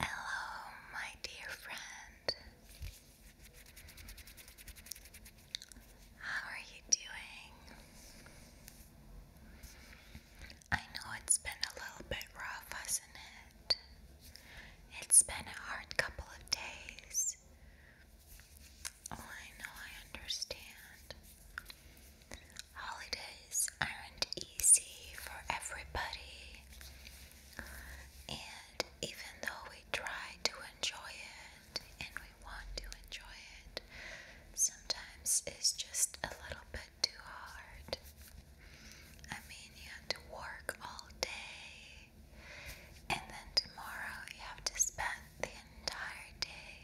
Hello, my dear friend. How are you doing? I know it's been a little bit rough, hasn't it? It's been a hard couple of days. Oh, I know, I understand. Holidays aren't easy for everybody, and even though we try to enjoy it and we want to enjoy it, sometimes it's just a little bit too hard. I mean, you have to work all day, and then tomorrow you have to spend the entire day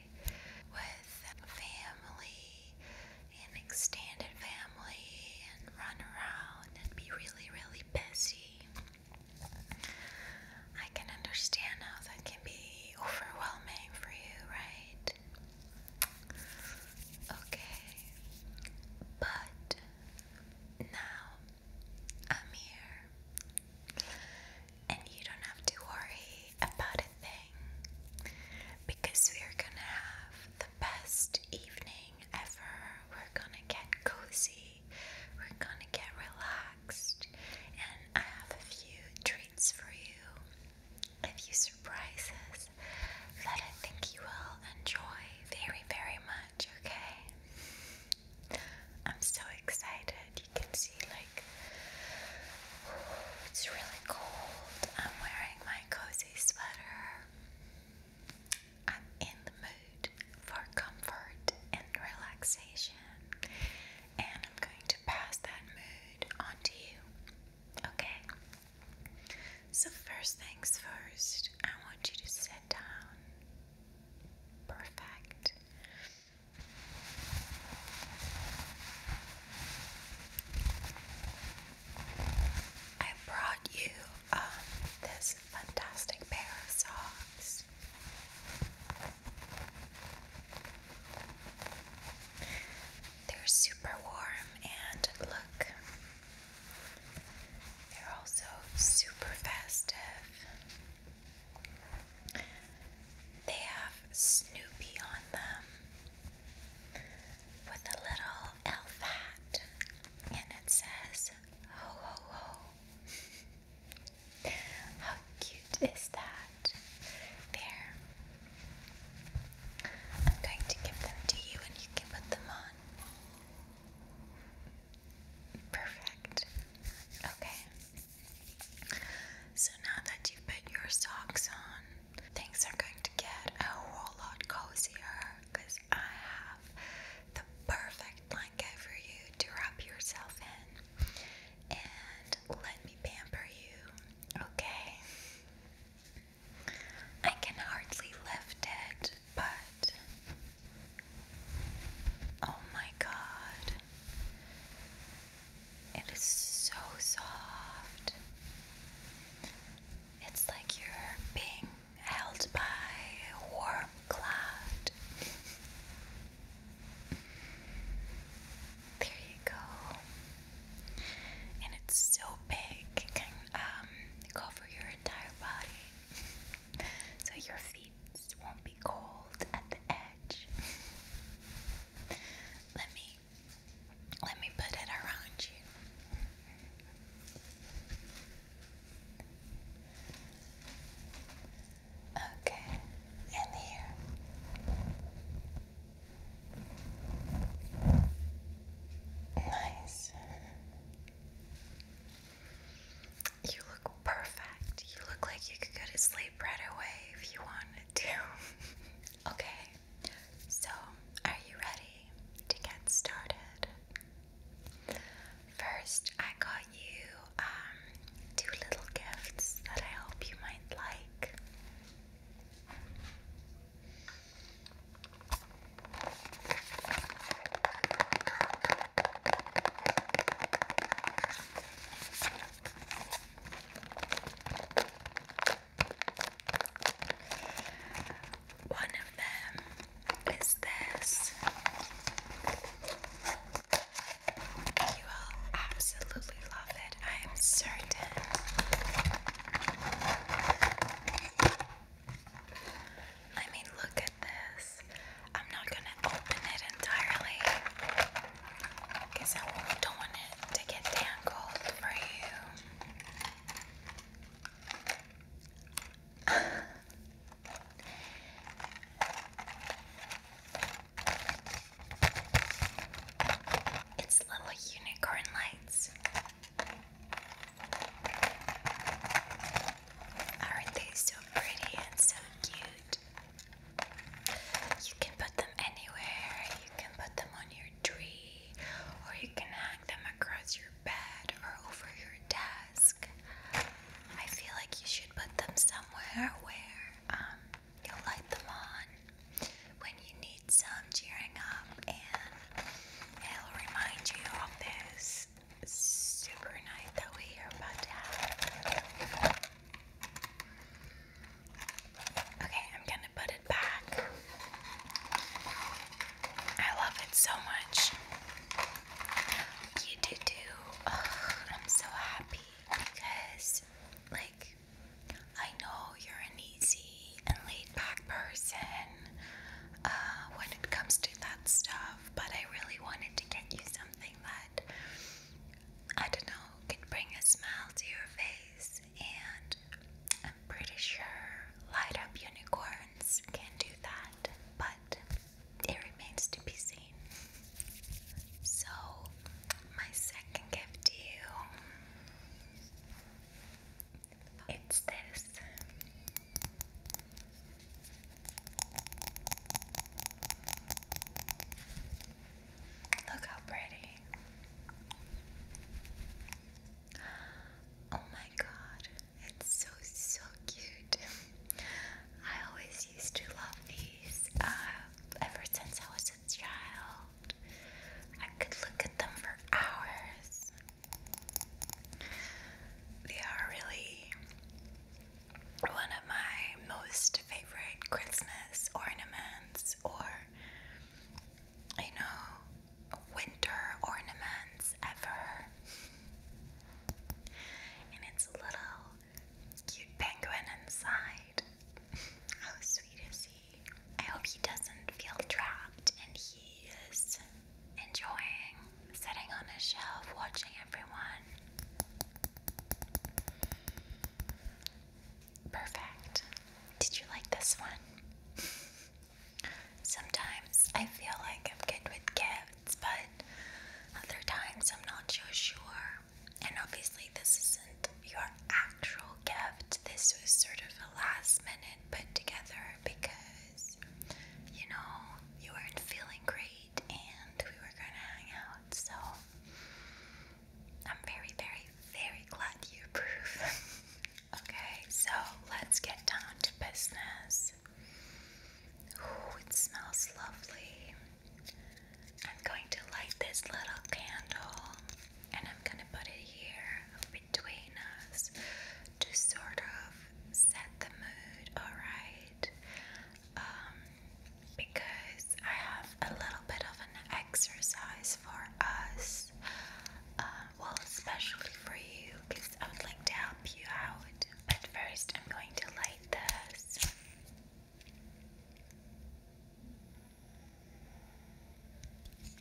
with family and extended family and run around be really, really busy. I can understand how that can be overwhelming for you, right? Okay, but now I'm here. And you don't have to worry about a thing because we are gonna have the best evening ever. We're gonna get cozy, we're gonna get relaxed, and I have a few treats for you, a few surprises that I think you will enjoy very, very much, okay? I'm so excited. You can see, like, it's really cold. I'm wearing my cozy sweater. I'm in the mood for comfort and relaxation, and I'm going to pass that mood on to you. Okay? So, first things first, I want you to sit down. Perfect. I brought you um, this fantastic pair of socks. They're super warm and look, they're also super festive. They have Snoopy on them with a little elf hat, and it says ho ho ho. How cute is that? There. I'm going to give them to you and you can put them on. Perfect. Okay. So now that you've put your socks on, things are going to get a whole lot cozier because I have the perfect blanket for you to wrap yourself in. And let me pamper you, okay? I can hardly lift it, but Oh my god. It is so soft. It's like you're being held by warm cloud. there you go. And it's so big, it can um, cover your entire body. so your feet won't be cold at the edge. let me let me put it around you. Okay, and here. Nice. You look perfect. You look like you could go to sleep right away if you wanted to. okay, so are you ready to get started? First, I got you um, two little gifts that I hope you might like. One of them is this. You will absolutely love it, I am certain. I mean, look at this. I'm not gonna open it entirely because I don't want it to get tangled for you. It's little unicorn lights. Aren't they so pretty and so cute? You can put them anywhere. You can put them on your tree, or you can hang them across your bed or over your desk. I feel like you should put them somewhere where um, you'll light them on when you need some cheering up, and it'll remind you of this this super night that we are about to have. Okay, I'm gonna put it back. I love it so much. You do too. I'm so happy because, like, I know you're an easy and laid back person uh, when it comes to that stuff but I really wanted to get you something that I don't know can bring a smile to your face, and I'm pretty sure light up unicorns can do that, but it remains to be seen. So, my second gift to you it's this. Look how pretty. Oh my god, it's so so cute. I always used to love these uh, ever since I was a child. I could look at them for hours. They are really one of my most favorite Christmas ornaments or, you know, winter ornaments ever. And it's a little cute penguin inside. How sweet is he? I hope he doesn't feel trapped and he is enjoying sitting on a shelf watching everyone. Perfect. Did you like this one? Sometimes I feel like I'm good with gifts, but other times I'm not so sure. And obviously, this isn't your actual gift, this was sort of a last minute put together because you know, you weren't feeling great and we were gonna hang out. So, I'm very, very, very glad you approve. okay, so let's get down to business. Ooh, it smells lovely. I'm going to light this little candle and I'm gonna put it here between us to sort of set the mood, alright? Um, because I have a little bit of an exercise for us, uh, well, especially for you, because I would like to help you out. But first, I'm going to light this.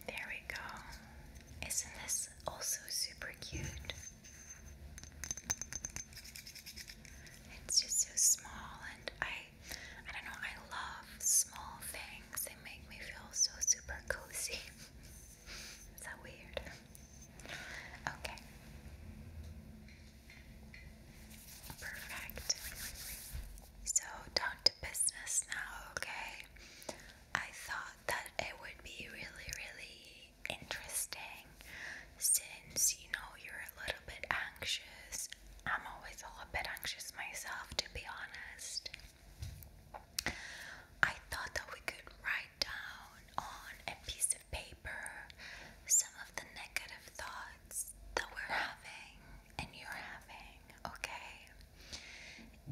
There we go. Isn't this also super cute? It's just so small and I I don't know, I love small things. They make me feel so super cozy. Is that weird? Okay. Perfect. So down to business now, okay? I thought that it would be really, really interesting since you know you're a little bit anxious. I'm always a little bit anxious myself, to be honest. I thought that we could write down on a piece of paper some of the negative thoughts that we're having and you're having, okay?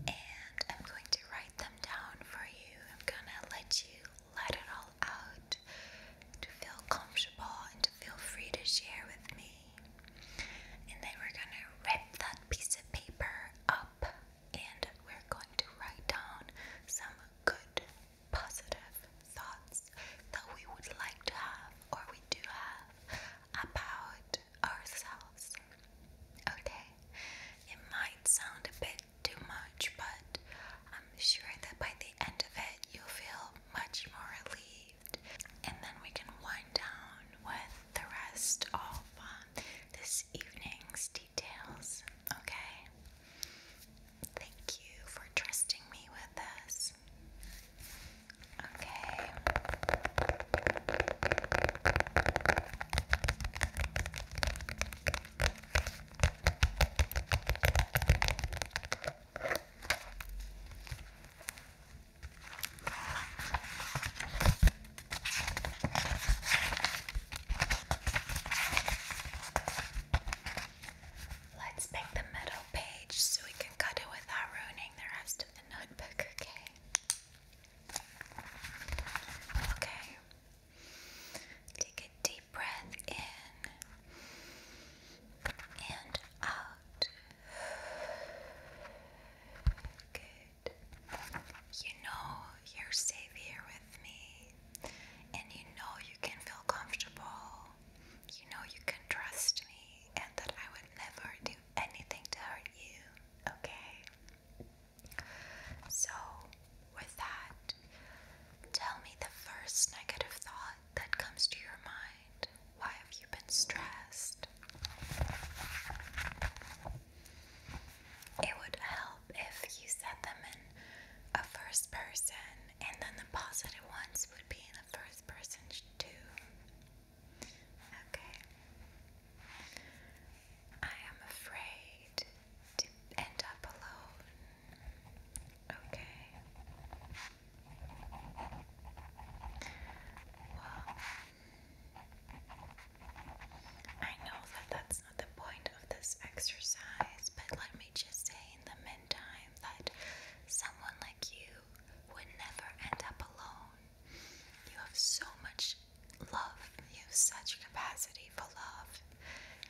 And I'm going to write write them down for you. I'm gonna let you let it all out to feel comfortable and to feel free to share with me. And then we're gonna rip that piece of paper up and we're going to write down some good, positive thoughts that we would like to have or we do have about ourselves. Okay? It might sound a bit too much, but I'm sure that by the end of it, you'll feel much more relieved. And then we can wind down with the rest of um, this evening's details, okay? Thank you for trusting me with this. Okay. Let's make the middle page so we can cut it without ruining the rest of the notebook, okay? Okay, Take a deep breath in and out. Good. You know you're safe here with me, and you know you can feel comfortable. You know you can trust me, and that I would never do anything to hurt you. Okay? So, with that, tell me the first negative thought that comes to your mind. Why have you been stressed? It would help if you said them in a first person, and then the positive ones would be in the first person too. Okay. I am afraid to end up alone. Okay. Well, I know that that's not the point of this exercise, but let me just say in the meantime that someone like you would never end up alone. You have so much such love, you have such capacity for love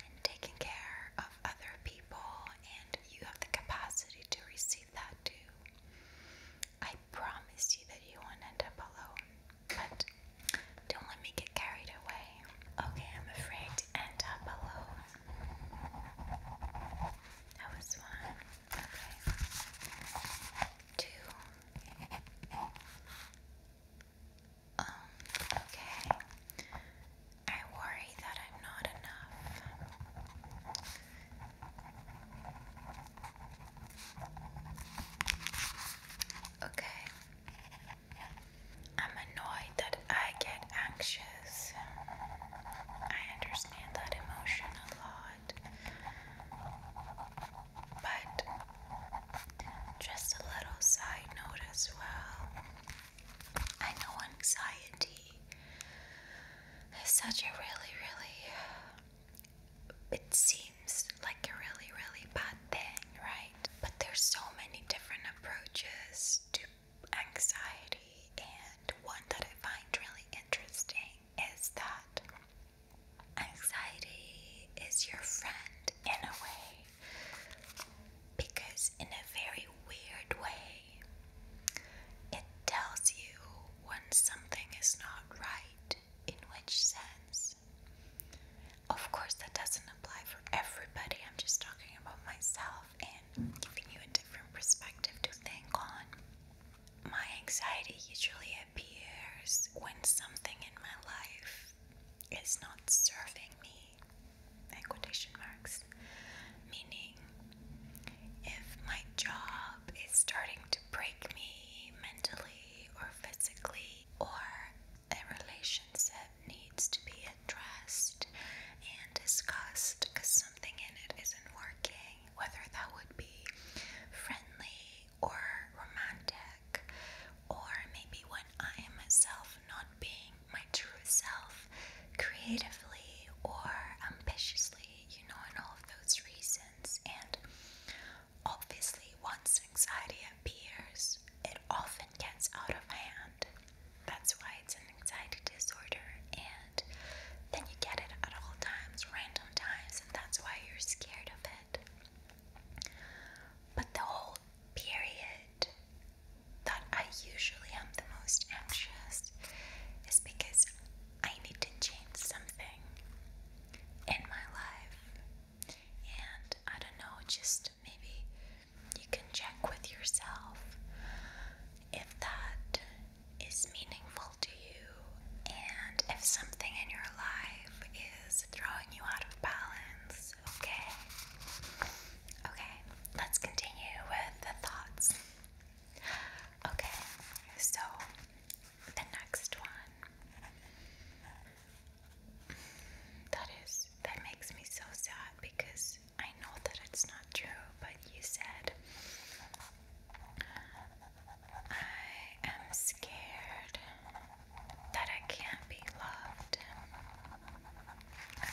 and taking care of other people, and you have the capacity to receive that too. I promise you that you won't end up alone, but don't let me get carried away. Okay, I'm afraid to end up alone. That was one. Okay. Two. Um, okay. I worry that I'm not enough. Okay. I'm annoyed that I get anxious. I understand that emotion a lot. But just a little side note as well. I know anxiety is such a really, really, it seems like a really, really bad thing, right? But there's so many different approaches to anxiety, and one that I find really interesting is that Anxiety is your friend in a way because, in a very weird way, it tells you when something is not right, in which sense. Of course, that doesn't apply for everybody, I'm just talking about myself and giving you a different perspective to think on. My anxiety usually appears when something my life is not serving me, in quotation marks, meaning if my job is starting to break me mentally or physically, or a relationship needs to be addressed and discussed because something in it isn't working, whether that would be friendly or romantic, or maybe when I am myself not being my true self creatively or ambitiously, you know, and all of those reasons. And obviously, once anxiety appears, it often gets out of hand. That's why it's an anxiety disorder, and then you get it at all times, random times, and that's why you're scared of it. But the whole period that I usually am the most anxious is because I need to change something in my life. And I don't know, just maybe you can check with yourself if that is meaningful to you and if something in your life is throwing you out of balance, okay? Okay, let's continue with the thoughts. Okay, so the next one that is that makes me so sad because I know that it's not true, but you said I am scared that I can't be loved.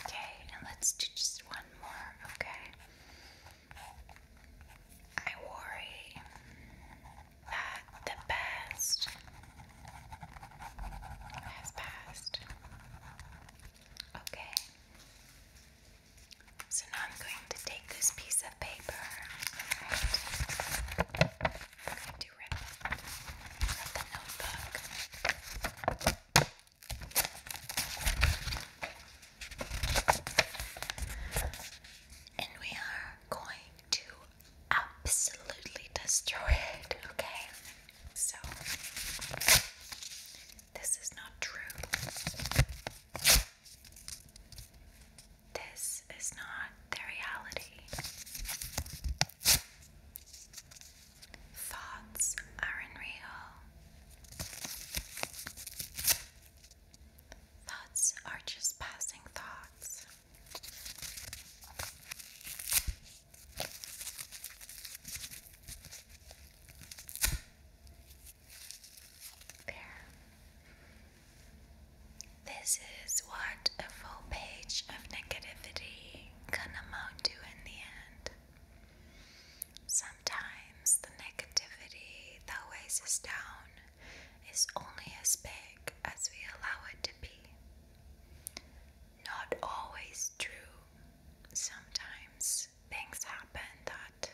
Okay, and let's do just one more, okay? I worry that the best has passed. Okay. So now I'm going to take this piece paper. And we are going to absolutely destroy it, okay? So, this is not true. This is not the reality. Thoughts aren't Thoughts are just passing thoughts. There. This is what a full page of negativity can amount to in the end. Sometimes the negativity that weighs us down is only as big as we allow it to be. Not always true. Sometimes things happen that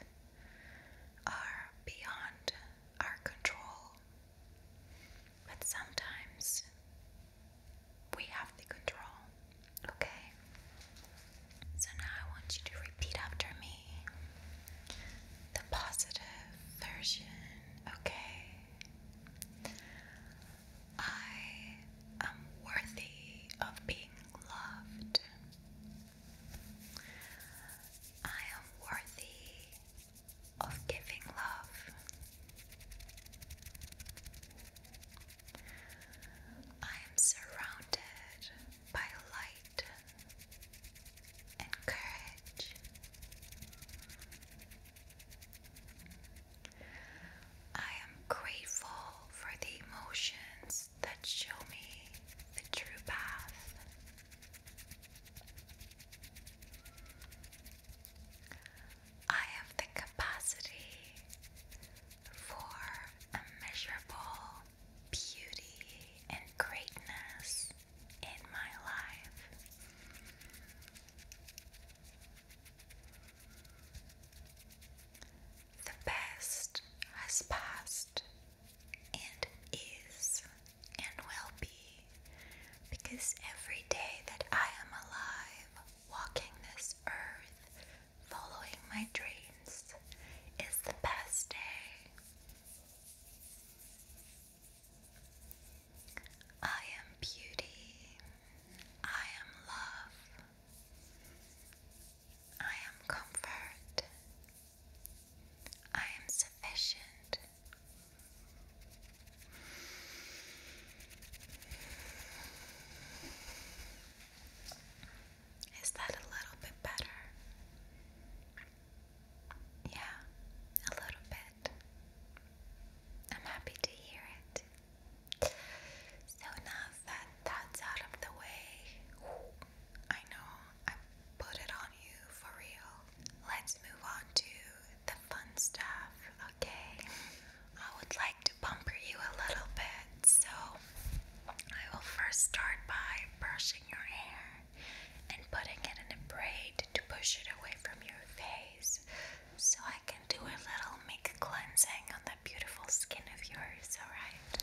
are beyond our control, but sometimes we have the control. Okay? So now I want you to repeat after me the positive version. Okay? I am worthy of being loved. I am worthy of giving love. I am surrounded by light and courage. I am grateful for the emotions that show me the true path. I have the capacity for immeasurable beauty and greatness in my life. The best has passed and is and will be, because every day that I am alive, walking this earth, following my dreams, is the best day. I am beauty. I am love. I am comfort. I am sufficient. Is that a little bit better? Yeah, a little bit. I'm happy to hear it. So now that that's out of the way, I know I put it on you for real. Let's move on to the fun stuff, okay? I would like to bumper you a little bit, so I will first start by brushing your hair and putting it in a braid to push it away from your face so I can do a little make cleansing on that beautiful skin of yours, alright?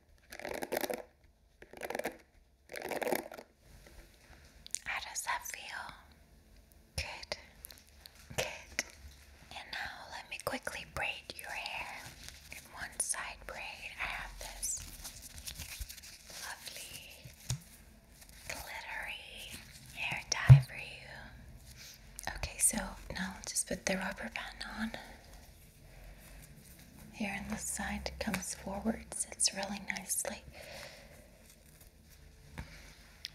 How does that feel? Good. Good. And now let me quickly braid your hair one side braid. I have this lovely glittery hair dye for you. Okay, so now I'll just put the rubber band on. Here in the side comes forwards, sits really nicely.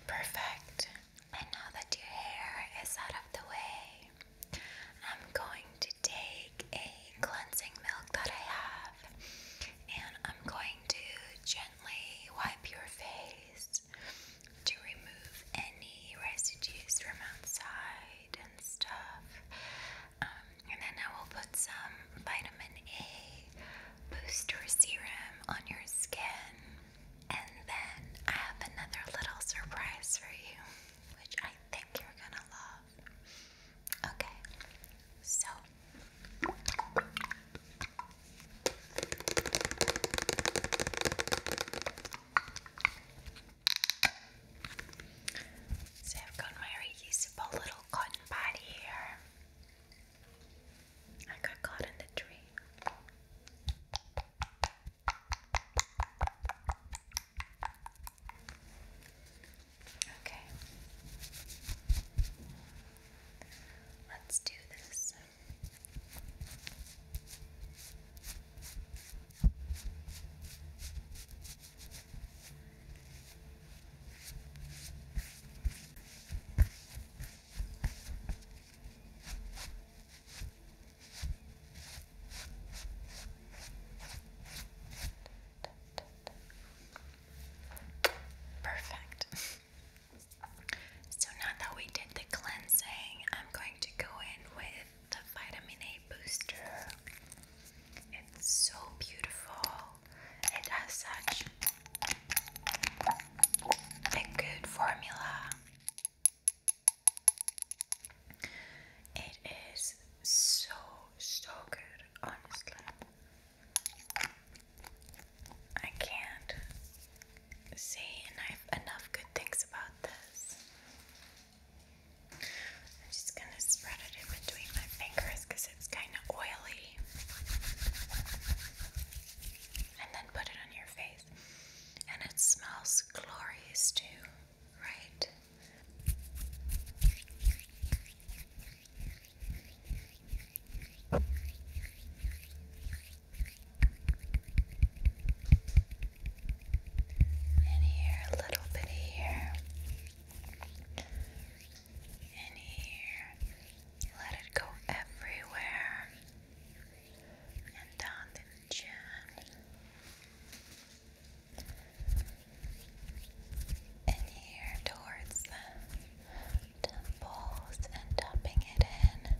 Perfect. And now that your hair is out of the way, I'm going to take a cleansing milk that I have and I'm going to gently wipe your face to remove any residues from outside and stuff. Um, and then I will put some vitamin A booster serum on your skin. And then I have another little surprise for you, which I think you're gonna love. Okay, so. So I've got my reusable little cotton pad here. I got caught in the tree. Okay. Let's do this. Perfect. So now that we did the cleansing, I'm going to go in with the vitamin A booster. It's so beautiful. It has such a good formula. It is so, so good, honestly. I can't say enough, enough good things about this. I'm just going to spread it in between my fingers because it's kind of oily. And then put it on your face. And it smells glorious too, right? and here a little bit here, and here. Let it go everywhere, and down the chin. And here towards the temples and dumping it in.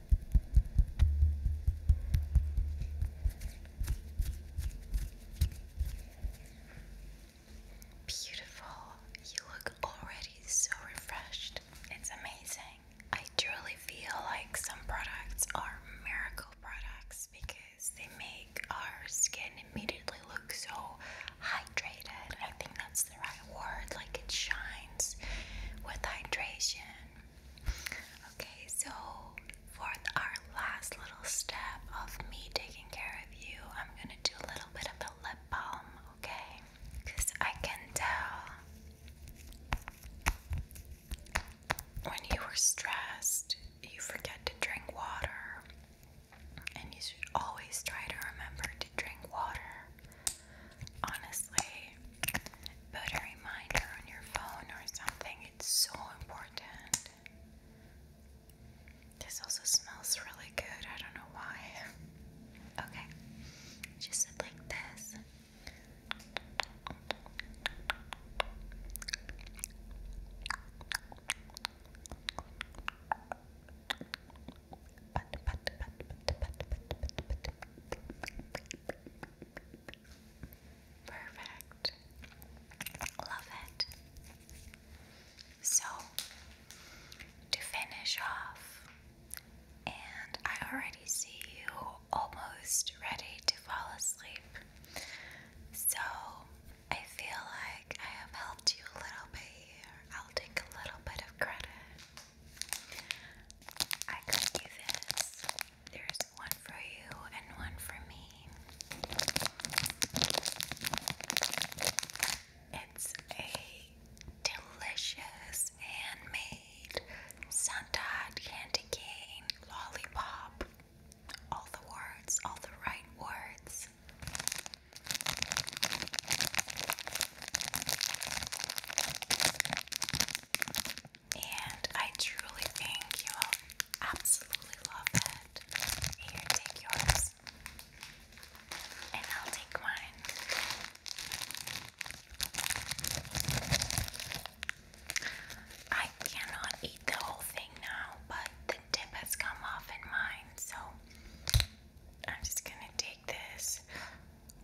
Beautiful. You look already so refreshed. It's amazing. I truly feel like some products are miracle products because they make our skin immediately look so hydrated. I think that's the right word. Like it shines with hydration. Okay, so for our last little step of me taking care of you, I'm gonna do a little bit of a lip balm, okay? Because I can tell when you are stressed, you forget to drink water, and you should always try to remember to drink water. Honestly, put a reminder on your phone or something it's so important. This also smells really good. I don't know why. Okay, just sit like this. Perfect. Love it. So, to finish off, and I already see you almost ready to fall asleep. So, I feel like I have helped you a little bit here. I'll take a little bit of credit. I got you this. There's one for you and one for me. It's a delicious handmade Santa candy cane lollipop. All the words, all the right words. And I truly think you will absolutely love it. Here, take yours. And I'll take mine. I cannot eat the whole thing now, but the tip has come off in mine, so I'm just gonna take this.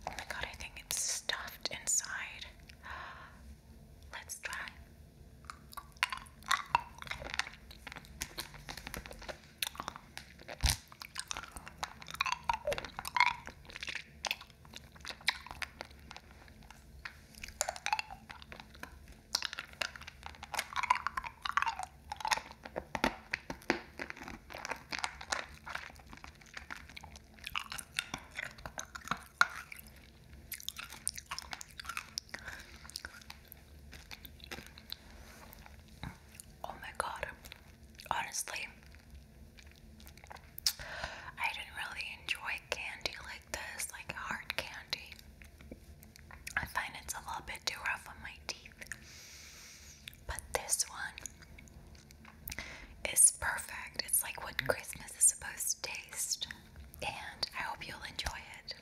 Oh my god, I think it's stuffed inside. Let's try. Oh my god. Honestly, I didn't really enjoy candy like this, like hard candy. I find it's a little bit too rough on my teeth. But this one, it's perfect. It's like what Christmas is supposed to taste. And I hope you'll enjoy it.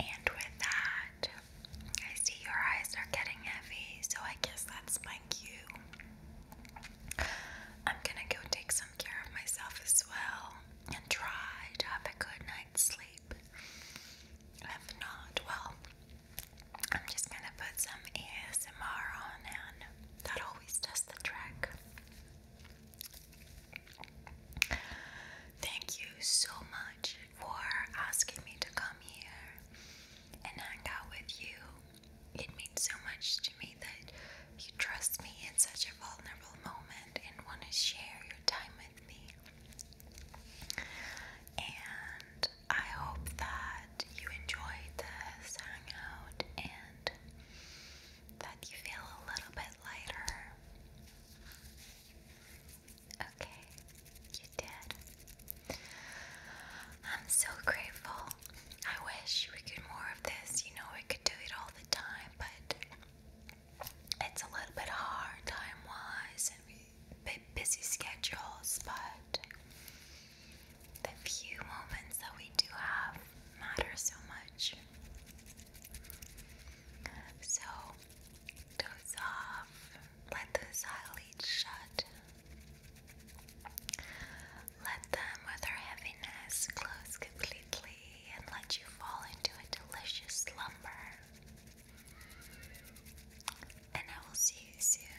And with that, I see your eyes are getting heavy, so I guess that's my cue. I'm gonna go take some care of myself as well and try to have a good night's sleep. If not, well, I'm just gonna put some ASMR on and that always does the trick. Thank you so much for asking me to come here and hang out with you. It means so much to me that you trust me in such a vulnerable moment and want to share your time with me. And I hope that you enjoyed this hangout and that you feel a little bit lighter. Okay, you did. I'm so grateful. I wish we could more of this. You know, we could do it all the time, but it's a little bit hard time wise and we busy schedules, but the few moments that we do have matter so much. So, doze off, let those eyelids shut, let them with their heaviness close completely, and let you fall into a delicious slumber. And I will see you soon.